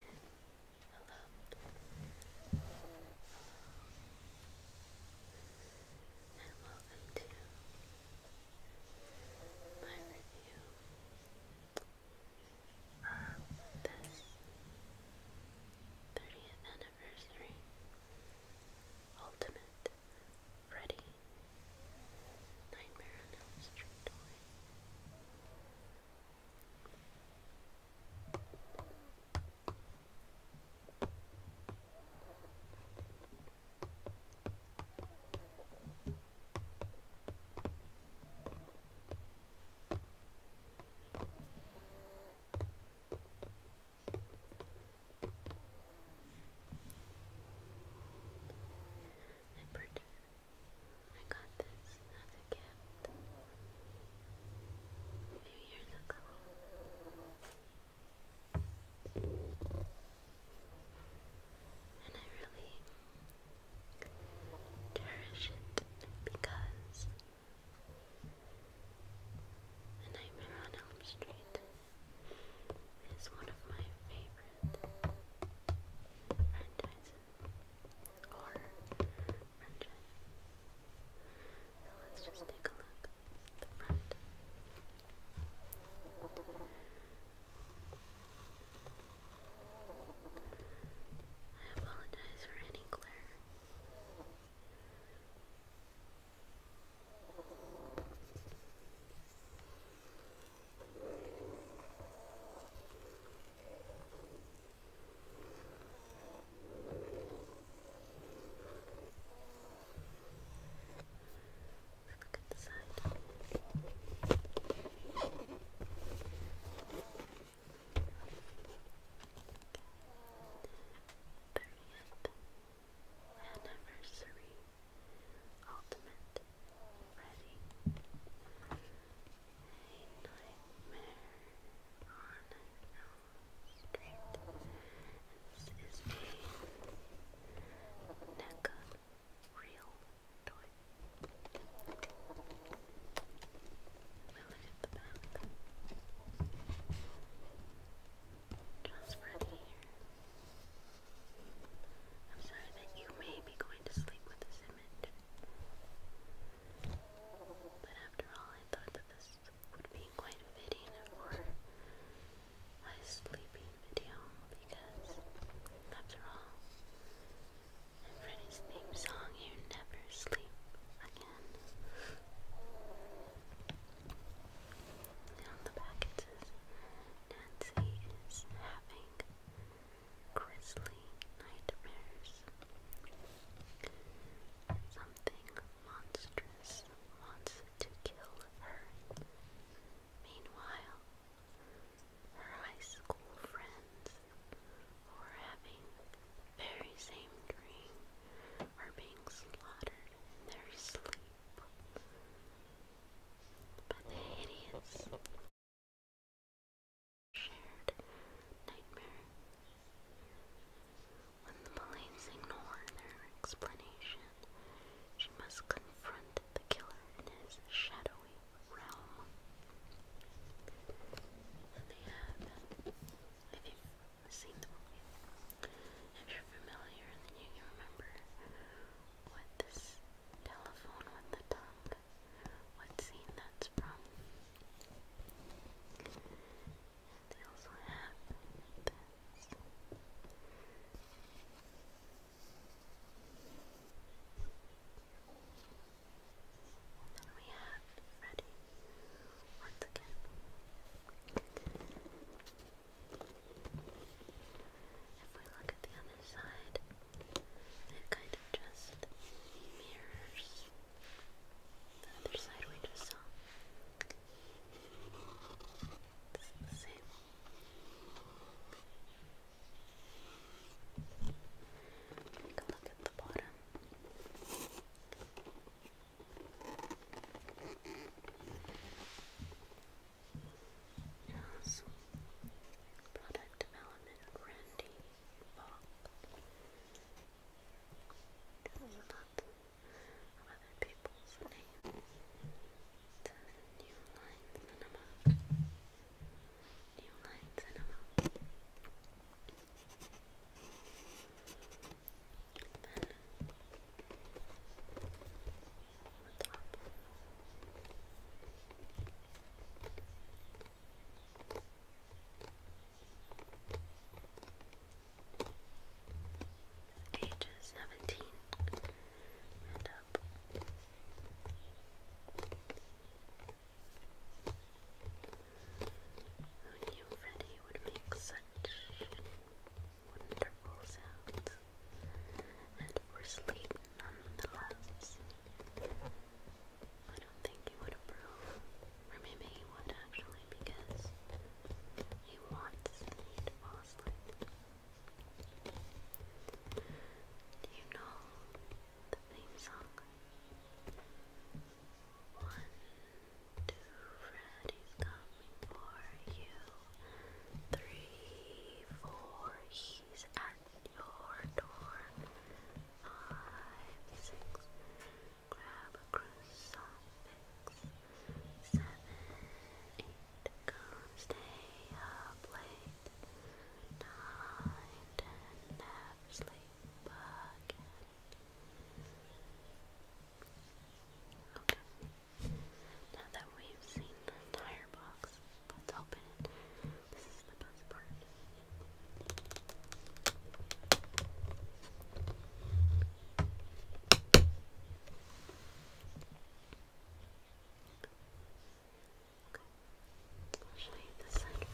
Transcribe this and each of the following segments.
Hello. And welcome to my review of this 30th anniversary Ultimate Freddy Nightmare on Elm Street toy. Number two. I got this as a gift a few years ago. And I really cherish it because A Nightmare on Elm Street is one of my favorite or wrenches. let's just take a look the front. I apologize for any glare. Look at the side. Thirtieth anniversary ultimate ready nightmare This is a NECA real toy. We look at the back. Just ready here. I'm sorry that you may be going to sleep with this but after all, I thought that this would be quite fitting for my sleeping video because, after all, in Freddy's theme song, you never sleep again. And the back it says, Nancy is having grisly nightmares. Something monstrous wants to kill her. Meanwhile, her high school friends who are having very same dream are being slaughtered in their sleep. But the hideous shared nightmare. When the police ignore their explanation, she must confront the killer in his shadowy realm. if you've seen the movie, if you're familiar, then you can remember what this telephone with the tongue what scene that's from. they also have this. then we have Freddy once again if we look at the other side, it kind of just mirrors the other side we just saw. It's the same. Take a look at the bottom. Yes. Product development, Randy Bob. There's of other people's names. New Line Cinema. New Line Cinema. Then, top. Ages seventeen up. Who would make such wonderful sounds? and for sleep nonetheless. I don't think he would approve, maybe he would actually because he wants to fall asleep. Do you know the theme song? One, two, Freddy's coming for you. Three, four, he's at your door. grab a croissant Seven, eight, come stay up late. Nine, ten, never sleep again. Okay. Now that we've seen the entire box, Let's open it. This is the best part. Okay. I'll show you this side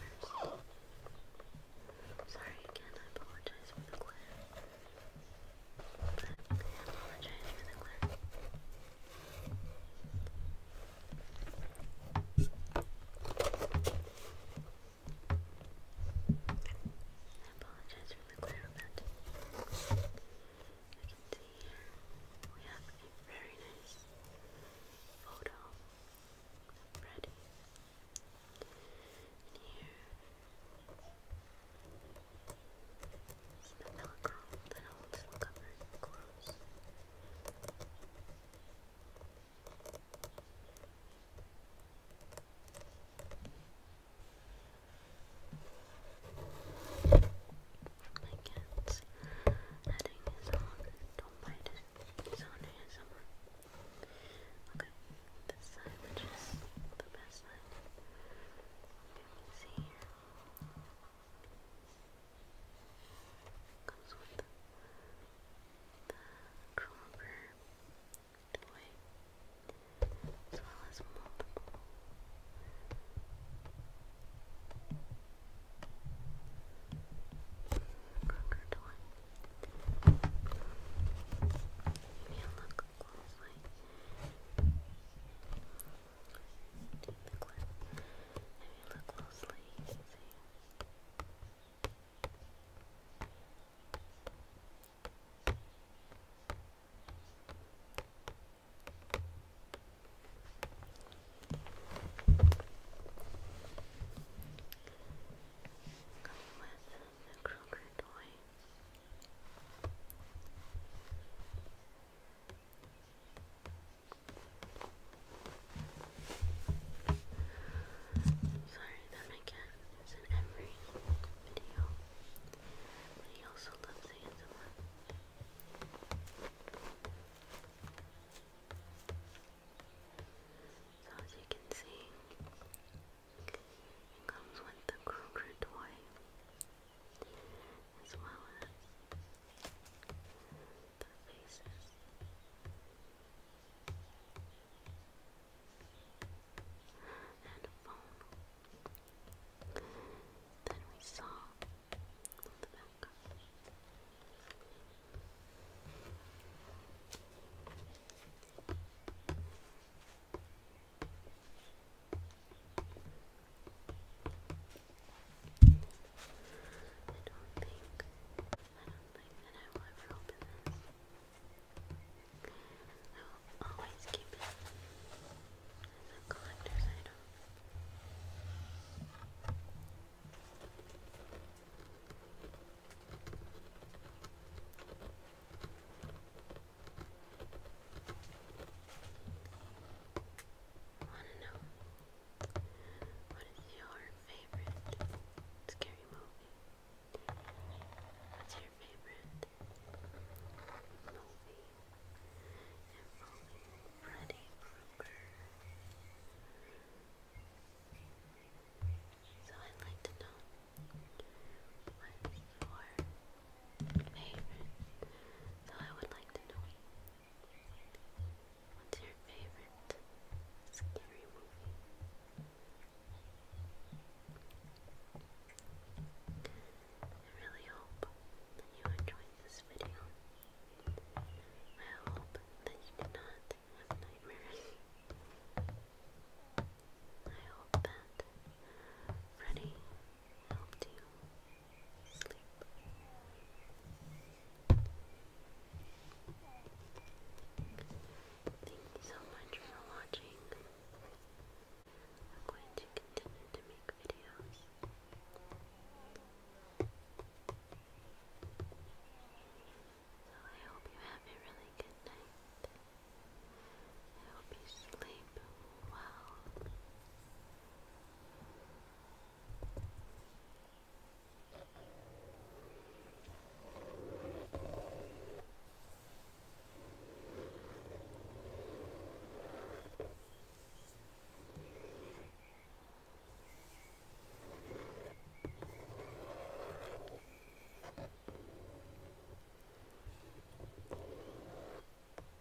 Sorry again, I apologize for the glare. I apologize for the glare apologize for the glare on You can see we have a very nice photo of here so the velcro, the holes will Don't bite it. on here somewhere. Okay, this side, which is the best side. You see here. Comes with the, the toy, as well as multiple Kroger toy. If you look closely, did the clip. If you look closely, you can see. Going with the Kroger toy. Sorry that my cat in every video, but he also loves ASMR. So as you can see, it comes with the Kruger toy as well as their faces. And a phone. Then we saw on the back don't think that I will ever open this. I will always keep it as a collector's item. I wanna know what is your favorite scary movie? What's your favorite movie? Involving Freddy Krueger. So I'd like to know what your favorite, so I would like to know what's your favorite scary movie? I really hope that you enjoyed this video. I hope that you did not have nightmares. I hope that Freddy helped sleep. so much for watching. I'm going to continue to make videos. So I hope you have a really good night. I hope you sleep well.